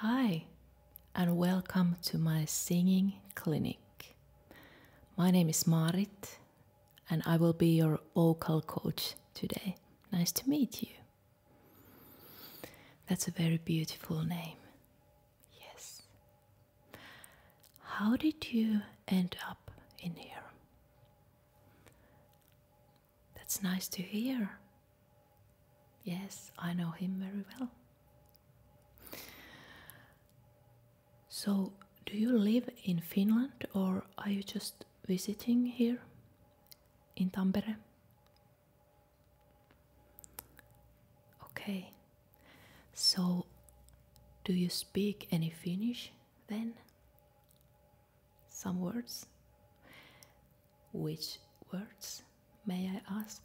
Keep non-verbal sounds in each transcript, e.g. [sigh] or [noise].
Hi, and welcome to my singing clinic. My name is Marit, and I will be your vocal coach today. Nice to meet you. That's a very beautiful name. Yes. How did you end up in here? That's nice to hear. Yes, I know him very well. So, do you live in Finland or are you just visiting here in Tampere? Okay. So, do you speak any Finnish then? Some words? Which words, may I ask?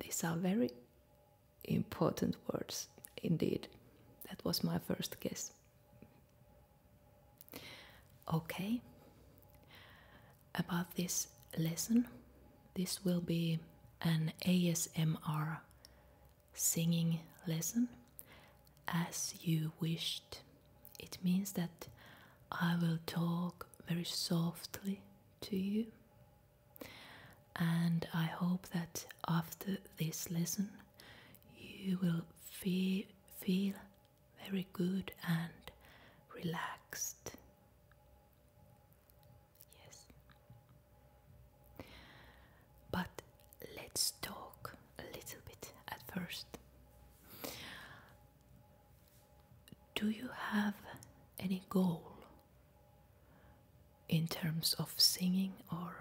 These are very important words indeed. That was my first guess. Okay, about this lesson, this will be an ASMR singing lesson as you wished. It means that I will talk very softly to you. And I hope that after this lesson, you will feel, very good and relaxed. Yes. But let's talk a little bit at first. Do you have any goal in terms of singing or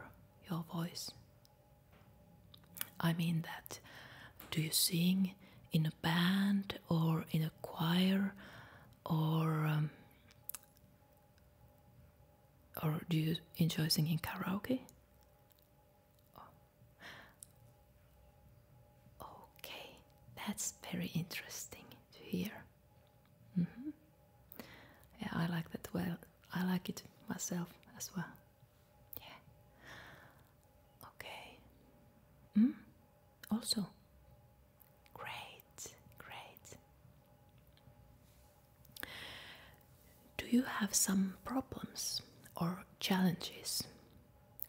your voice? I mean that do you sing in a band or in a choir or um, or do you enjoy singing karaoke? Oh. Okay, that's very interesting to hear. Mm -hmm. Yeah, I like that well. I like it myself as well. Yeah. Okay. Mm? Also. Great, great. Do you have some problems or challenges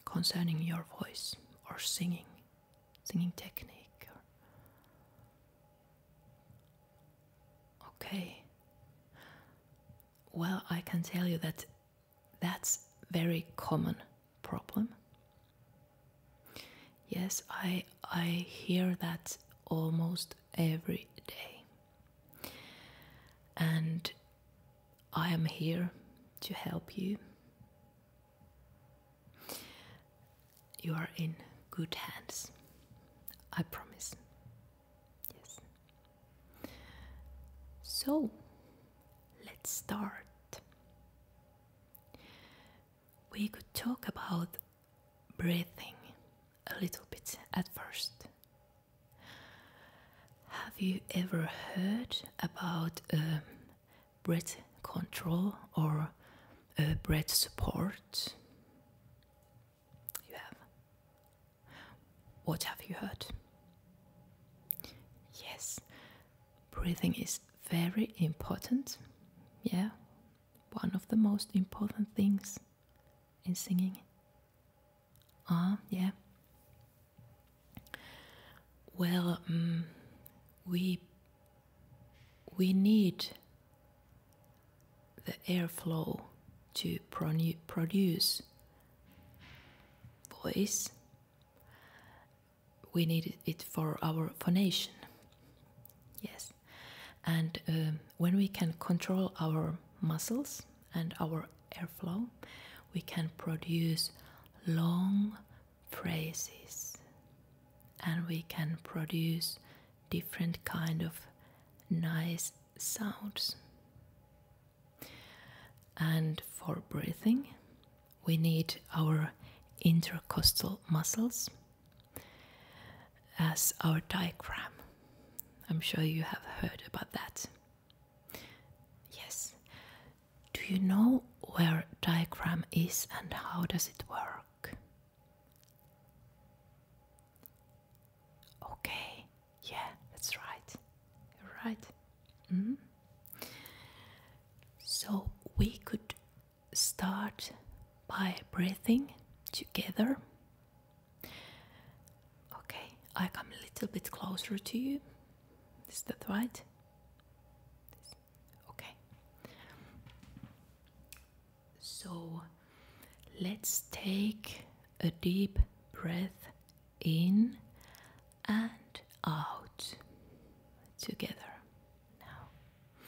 concerning your voice or singing, singing technique? Okay. Well, I can tell you that that's very common problem. Yes, I I hear that almost every day. And I am here to help you. You are in good hands. I promise. Yes. So, let's start. We could talk about breathing a little bit at first. Have you ever heard about um, breath control or uh, breath support? You have. What have you heard? Yes, breathing is very important. Yeah, one of the most important things in singing? Ah, yeah. Well, um, we we need the airflow to produce voice. We need it for our phonation. Yes. And um, when we can control our muscles and our airflow, we can produce long phrases and we can produce different kind of nice sounds. And for breathing, we need our intercostal muscles as our diagram. I'm sure you have heard about that. Yes. Do you know where diagram is and how does it work? Okay. Yeah, that's right. you right. Mm-hmm. So we could start by breathing together. Okay, I come a little bit closer to you. Is that right? Okay. So let's take a deep breath in and out together now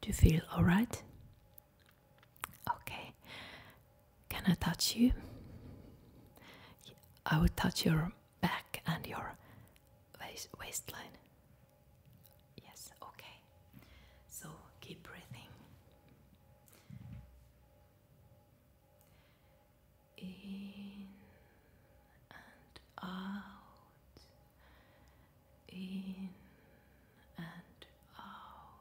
do you feel alright? Okay. Can I touch you? I will touch your back and your waist waistline. Yes, okay. So keep breathing. In and out in and out,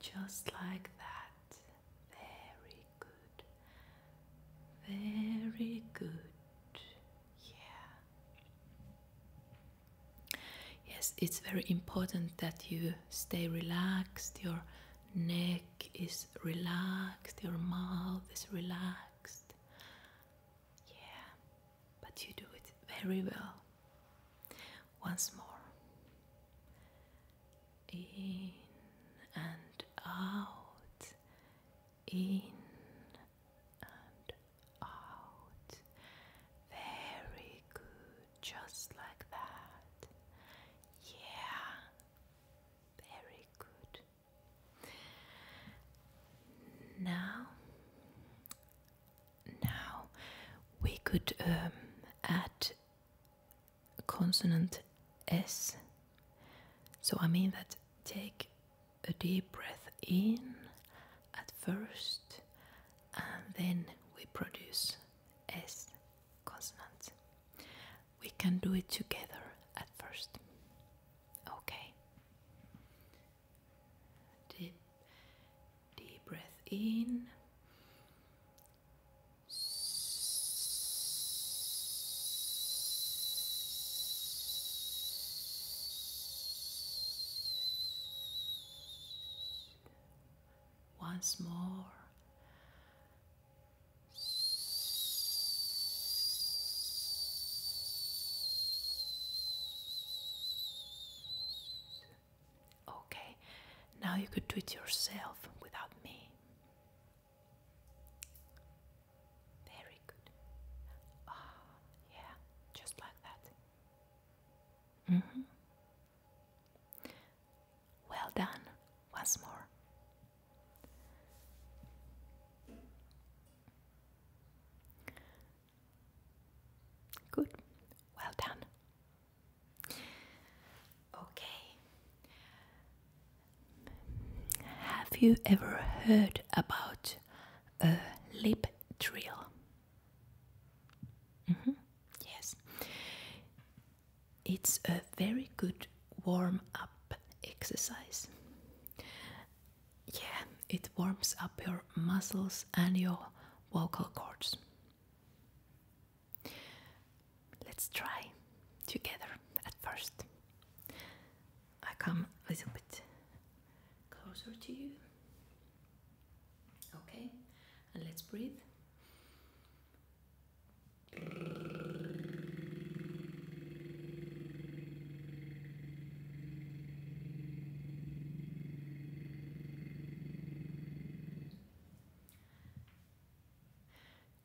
just like that. Very good, very good. Yeah. Yes, it's very important that you stay relaxed. Your neck is relaxed, your mouth is relaxed. Yeah, but you do it very well. Once more. In and out. In and out. Very good. Just like that. Yeah. Very good. Now, now we could um, add consonant S. So I mean that take a deep breath in at first and then we produce S consonant we can do it together at first. Okay. Deep, deep breath in. Once more, Okay, now you could do it yourself without me. Very good. Ah, yeah, just like that. Mm hmm. Well done, once more. Good. Well done. Okay. Have you ever heard about a lip drill? Mm -hmm. Yes. It's a very good warm up exercise. Yeah, it warms up your muscles and your vocal cords. Let's try together at first. I come a little bit closer to you. Okay, and let's breathe.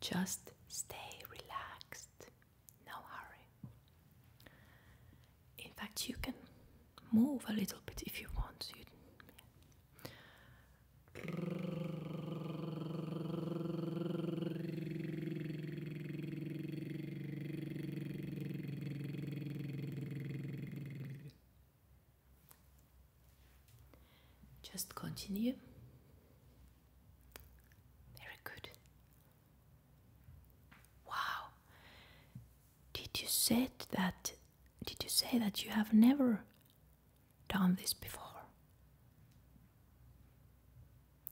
Just stay relaxed, no hurry. In fact, you can move a little bit if you want. Just continue. Very good. Wow. Did you say that did you say that you have never done this before?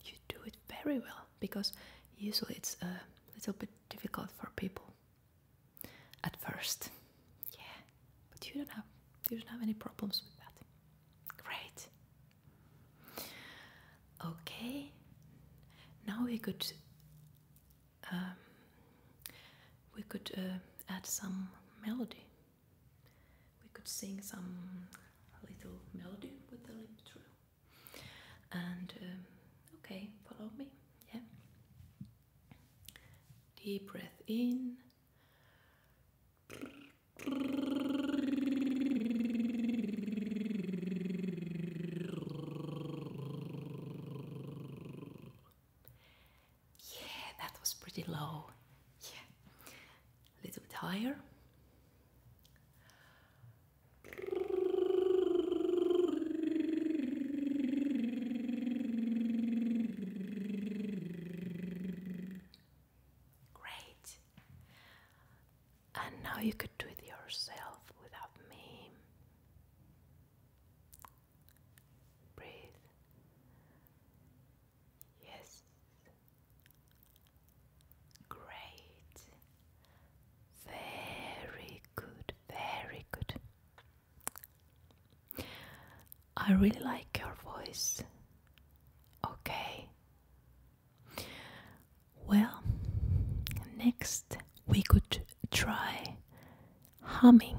you do it very well because usually it's uh, a little bit difficult for people at first. Yeah, but you don't have you don't have any problems with that. Great. Okay, now we could um, we could uh, add some melody we could sing some little melody with the lip trill. And um, okay, follow me. Yeah. Deep breath in. Yeah, that was pretty low. Yeah. A little bit higher. Great. And now you could do it yourself without me. Breathe. Yes. Great. Very good. Very good. I really like your voice. Okay. Well, next we could try humming.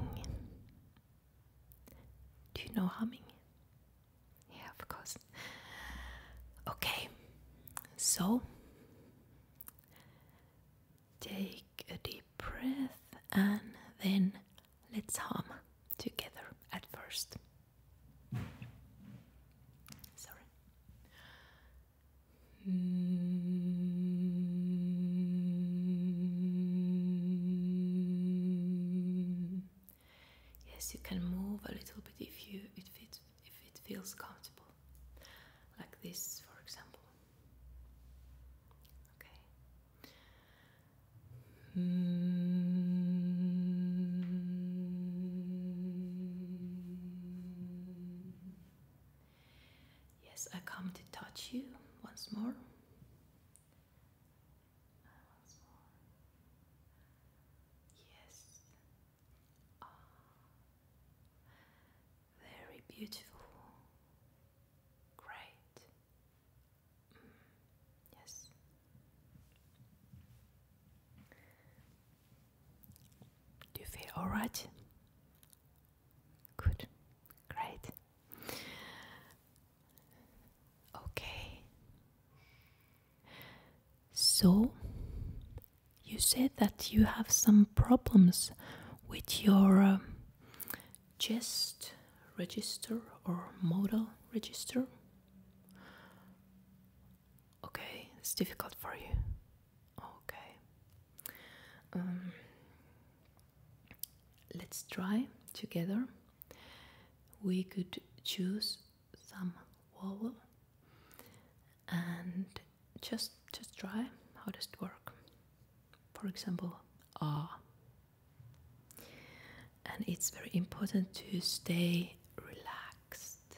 Do you know humming? Yeah, of course. Okay, so take a deep breath and then let's hum together at first. Sorry. Yes, you can move a little bit if you if it if it feels comfortable, like this, for example. Okay. Mm. Yes, I come to touch you once more. Yes. Ah. Very beautiful. Great. Mm. Yes. Do you feel all right? Good. Great. Okay. So, you said that you have some problems with your uh, chest register or modal register. Okay, it's difficult for you. Okay. Um, let's try together we could choose some vowel and just just try how does it work for example ah and it's very important to stay relaxed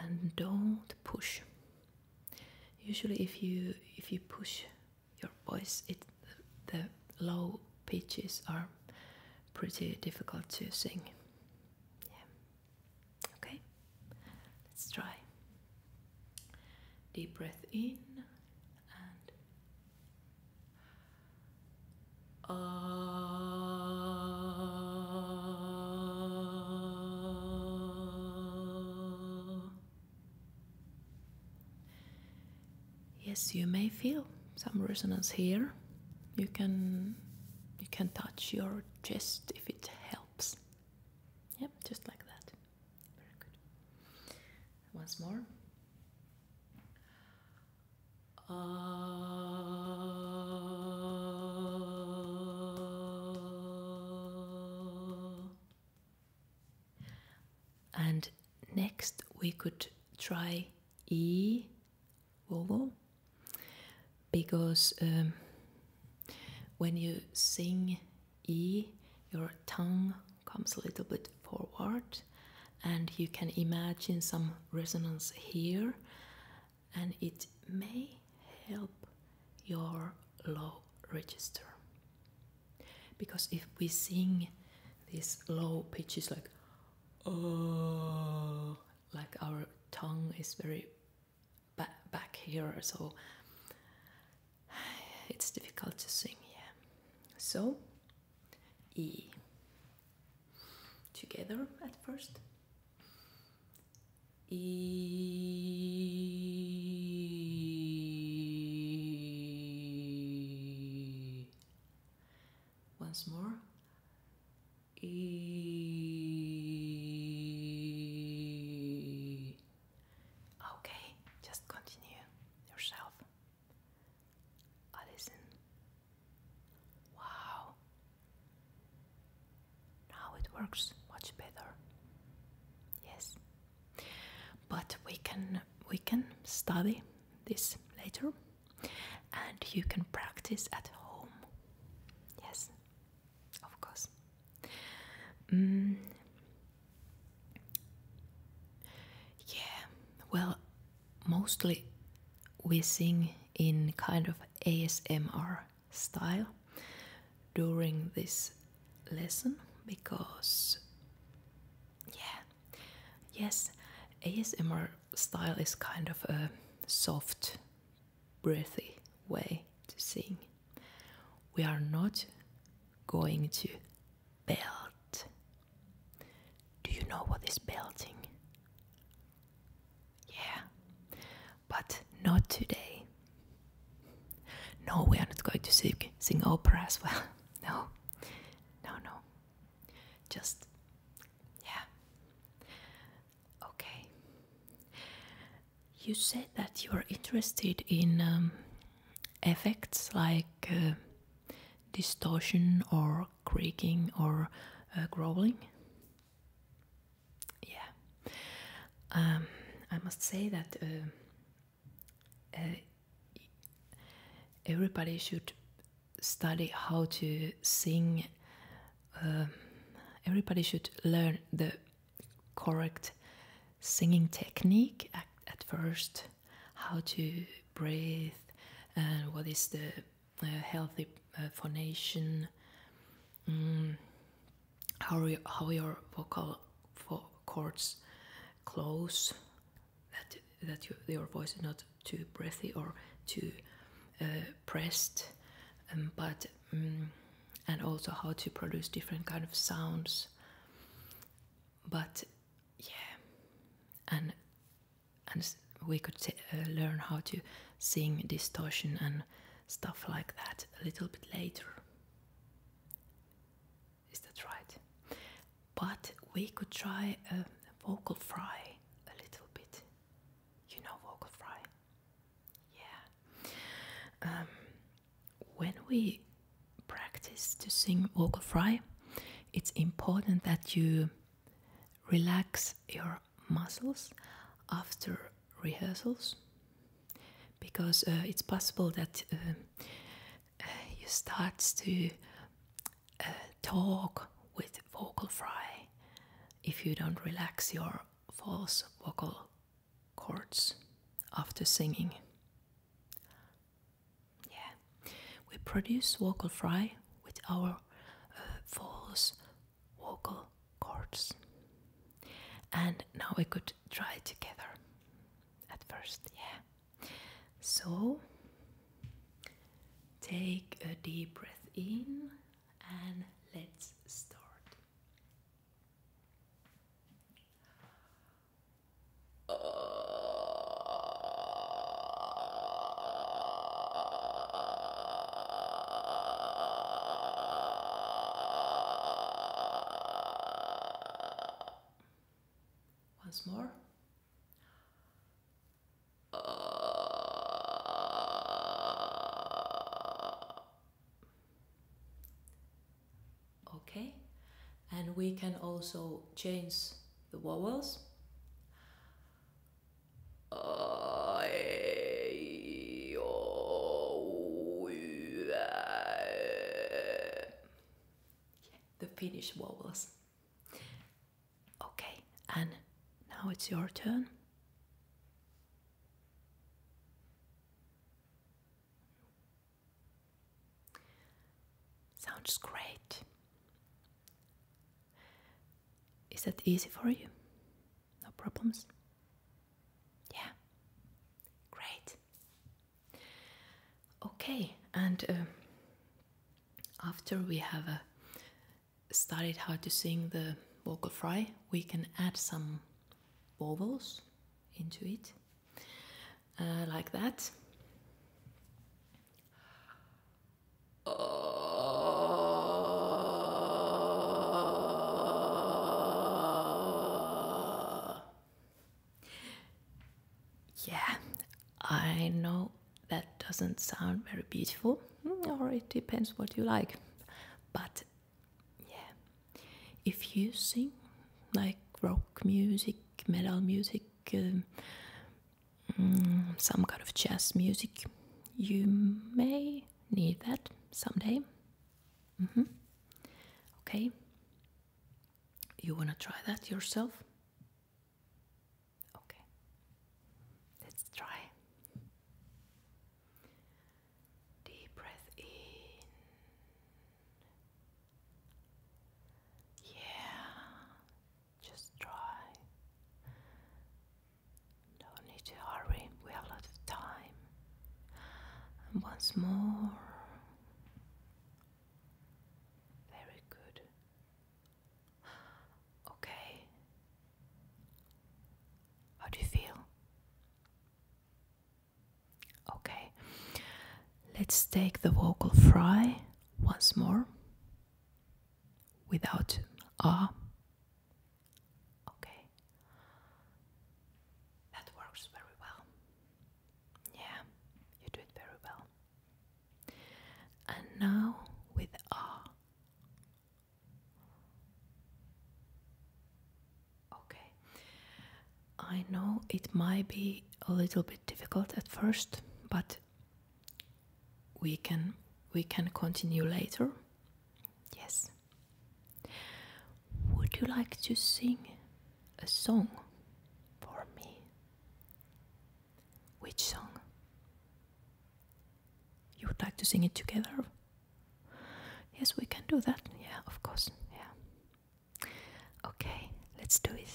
and don't push usually if you if you push your voice. It the low pitches are pretty difficult to sing. Okay. Let's try. Deep breath in and. Uh, Yes, you may feel some resonance here. You can you can touch your chest if it helps. Yep, just like that. Very good. Once more. Ah. And next we could try E wo. because um, when you sing E, your tongue comes a little bit forward and you can imagine some resonance here and it may help your low register. Because if we sing these low pitches like oh, like our tongue is very back here, so [sighs] it's difficult to sing. Yeah, so e together at first. E once more. Okay, just continue yourself. I listen. Wow. Now it works much better. Yes, but we can we can study this later, and you can practice at home. Yes, of course. Mm. Yeah, well, mostly we sing in kind of ASMR style during this lesson because yeah yes asmr style is kind of a soft breathy way to sing we are not going to belt do you know what is belting yeah but not today no we are not going to sing, sing opera as well [laughs] No, no, no. Just, yeah. Okay. You said that you're interested in um, effects like uh, distortion or creaking or uh, growling. Yeah. Um, I must say that uh, uh, everybody should study how to sing. Um, everybody should learn the correct singing technique at, first, how to breathe, and what is the uh, healthy uh, phonation, mm, how, you, how your vocal chords? close, that that you, your voice is not too breathy or too uh, pressed, um, but mm, and also how to produce different kind of sounds. But yeah, and and we could uh, learn how to sing distortion and stuff like that a little bit later. Is that right? But we could try a vocal fry a little bit. You know vocal fry? Yeah. Um, when we practice to sing vocal fry, it's important that you relax your muscles after rehearsals because uh, it's possible that uh, uh, you starts to uh, talk with vocal fry if you don't relax your false vocal chords after singing. Yeah, we produce vocal fry with our uh, false vocal chords. And now we could try together at first, yeah. So take a deep breath in and let's start. Uh. Once more. Uh. Okay, and we can also change the vowels the Finnish vowels. Okay, and now it's your turn. Sounds great. Is that easy for you? No problems? Yeah, great. Okay, and um, after we have uh, studied how to sing the vocal fry, we can add some vowels into it, uh, like that. Yeah, I know that doesn't sound very beautiful, mm, or it depends what you like. But yeah, if you sing like rock music, metal music, um, mm, some kind of jazz music, you may need that someday. Mm -hmm. Okay. You want to try that yourself? Okay. Let's try. Deep breath in. Yeah. Just try. No need to hurry. We have a lot of time once more. Very good. Okay. How do you feel? Okay. Let's take the vocal fry once more without ah. Okay. That works very well. Yeah, you do it very well. And now with R. Okay. I know it might be a little bit difficult at first, but we can we can continue later. Yes. Would you like to sing a song for me? Which song? You would like to sing it together? Yes, we can do that. Yeah, of course. Yeah. Okay, let's do it.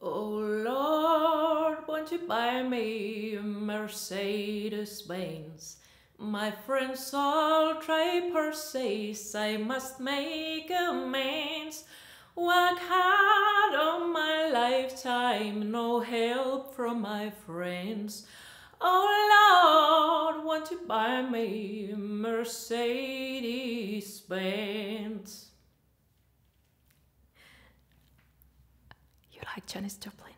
Oh Lord, won't you buy me a Mercedes Benz? My friends all try to persist, I must make amends. Work hard all my lifetime, no help from my friends. Oh Lord, won't you buy me a Mercedes Benz? You like Janis Joplin?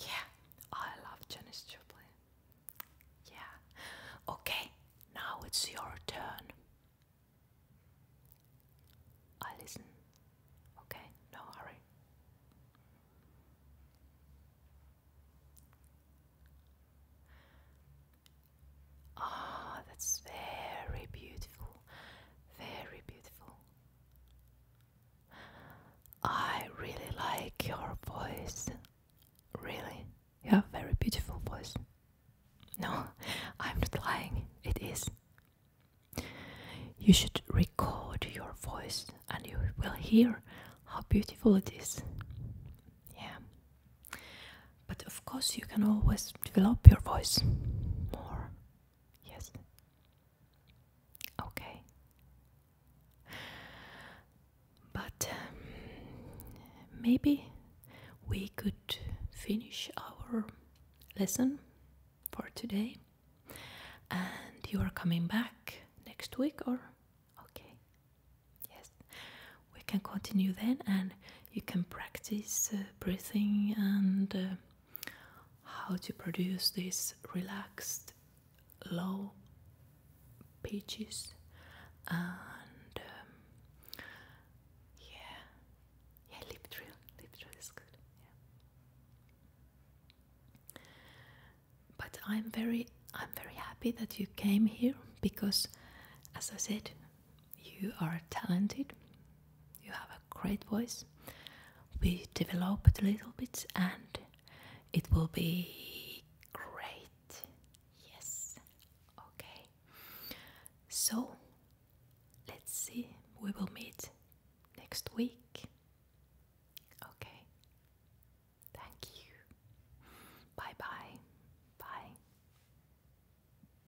Yeah, I love Janis Joplin. Yeah. Okay, now it's your turn. I listen. Okay, no hurry. Ah, that's very beautiful very beautiful. I really like your voice. Really, you have very beautiful voice. No, I'm not lying. It is. You should record your voice, and you will hear how beautiful it is. Yeah. But of course, you can always develop your voice more Yes. Okay. But um, maybe we could finish our lesson for today. And you are coming back next week, or? Okay. Yes. We can continue then and you can practice uh, breathing and uh, how to produce these relaxed low pitches and um, yeah yeah lip drill lip drill is good but i'm very i'm very happy that you came here because as i said you are talented, you have a great voice. We develop it a little bit and it will be great. Yes, okay. So let's see, we will meet next week. Okay, thank you. Bye bye. Bye.